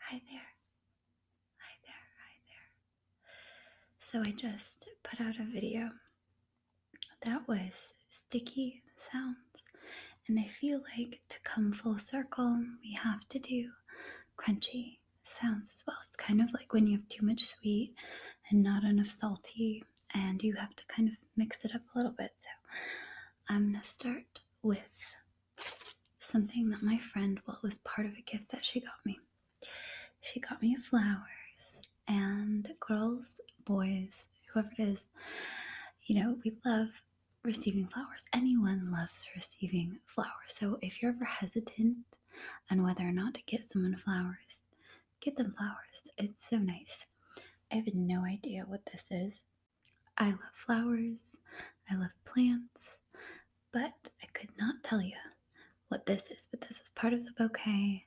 Hi there. Hi there. Hi there. So I just put out a video that was sticky sounds. And I feel like to come full circle, we have to do crunchy sounds as well. It's kind of like when you have too much sweet and not enough salty, and you have to kind of mix it up a little bit. So I'm going to start with something that my friend, well, was part of a gift that she got me. She got me flowers, and girls, boys, whoever it is, you know, we love receiving flowers. Anyone loves receiving flowers. So if you're ever hesitant on whether or not to get someone flowers, get them flowers. It's so nice. I have no idea what this is. I love flowers, I love plants, but I could not tell you what this is. But this was part of the bouquet,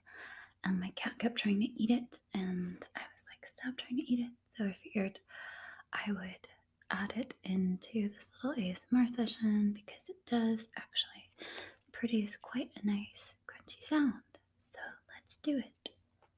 and my cat kept trying to eat it, and I was like, stop trying to eat it. So I figured I would add it into this little ASMR session because it does actually produce quite a nice crunchy sound. So let's do it.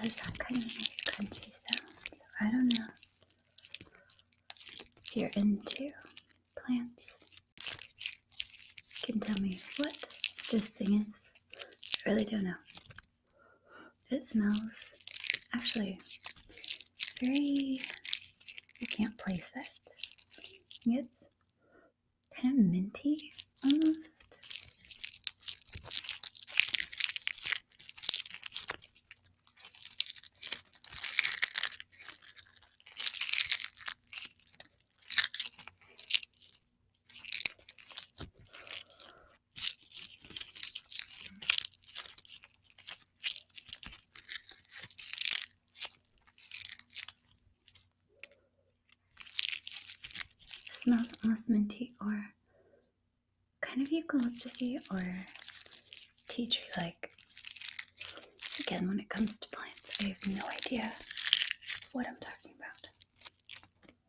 There's some kind of nice crunchy I don't know you're into plants. You can tell me what this thing is. I really don't know. It smells actually very, I can't place it. It's kind of minty almost smells almost minty or kind of eucalyptusy or tea tree like. Again, when it comes to plants, I have no idea what I'm talking about.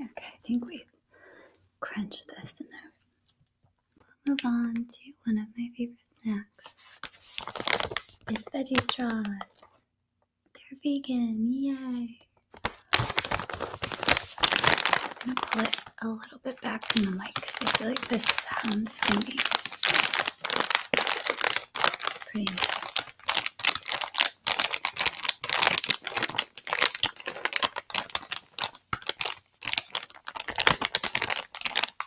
Okay, I think we've crunched this enough. We'll move on to one of my favorite favorite snacks is veggie straws. They're vegan, yay! I'm gonna pull it a little bit back from the mic because I feel like this sound is gonna be pretty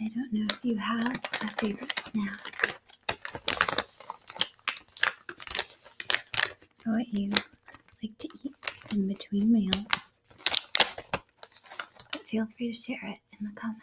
I don't know if you have a favorite snack or what you like to eat in between meals. Feel free to share it in the comments.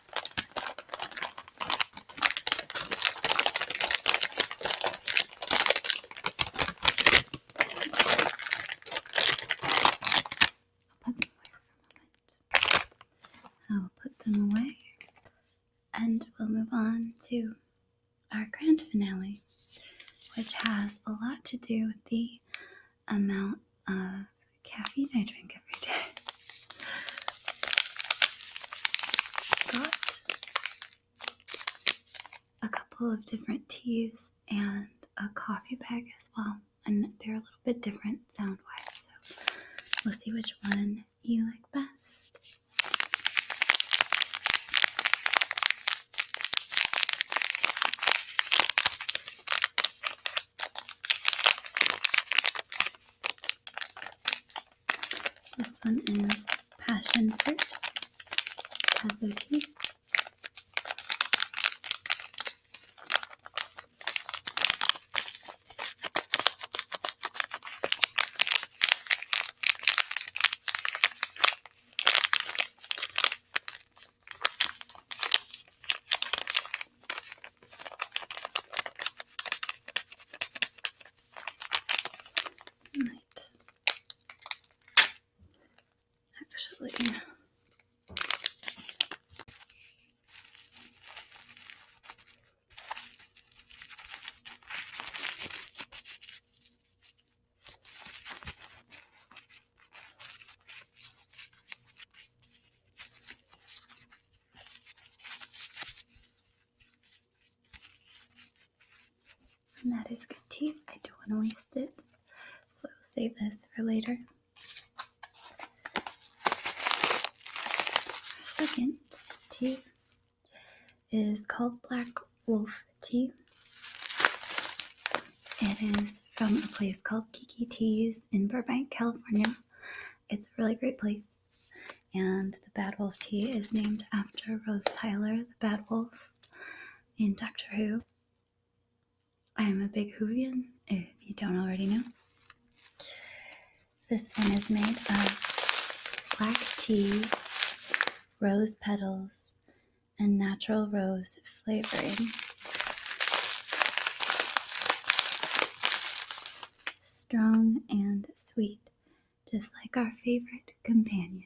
I'll put them away for a moment. I'll put them away and we'll move on to our grand finale, which has a lot to do with the amount of caffeine I drink every day. Got a couple of different teas and a coffee bag as well, and they're a little bit different sound wise, so we'll see which one you like best. This one is passion fruit. Has their teeth. Right. Actually, and that is good tea. I don't want to waste it. So I will save this for later. Our second tea is called Black Wolf Tea. It is from a place called Kiki Teas in Burbank, California. It's a really great place. And the Bad Wolf tea is named after Rose Tyler, the Bad Wolf in Doctor Who. I am a big Whovian, if you don't already know. This one is made of black tea, rose petals, and natural rose flavoring strong and sweet, just like our favorite companion.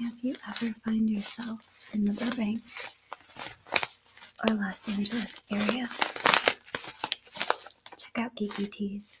If you ever find yourself in the Burbank or Los Angeles area, check out Geeky Teas.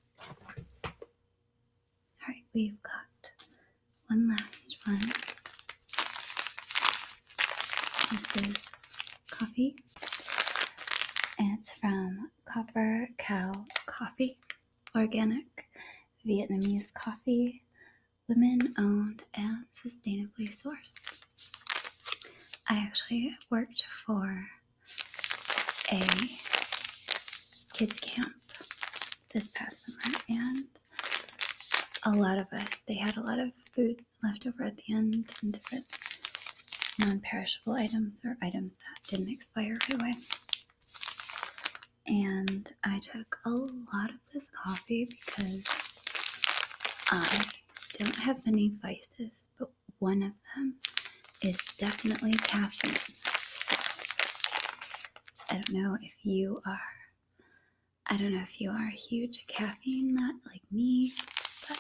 All right, we've got one last one. This is coffee, and it's from Copper Cow Coffee, organic Vietnamese coffee, women owned and sustainably sourced. I actually worked for a kids camp this past summer and a lot of us they had a lot of food left over at the end and different non-perishable items or items that didn't expire right away and i took a lot of this coffee because i don't have many vices but one of them is definitely caffeine. I don't know if you are. I don't know if you are a huge caffeine nut like me, but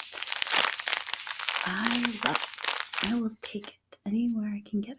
I love it. I will take it anywhere I can get it.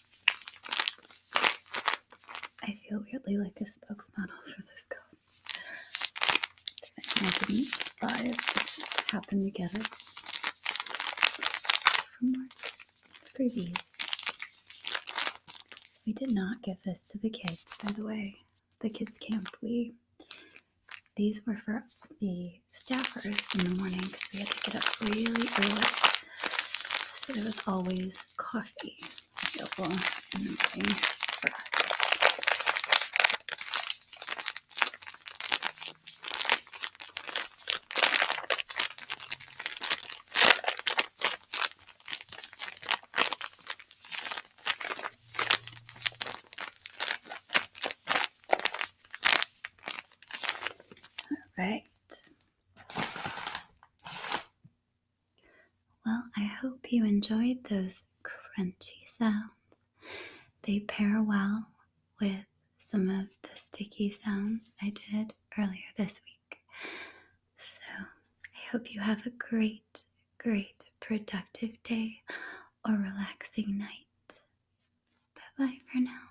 I feel weirdly like a spokesmodel for this coat. I didn't just happened to get it from Marks Freebies. We did not give this to the kids, by the way. The kids' camp, we these were for the staffers in the morning because we had to get up really early so there was always coffee All right. Well, I hope you enjoyed those crunchy sounds. They pair well with some of the sticky sounds I did earlier this week. So I hope you have a great, great, productive day or relaxing night. Bye bye for now.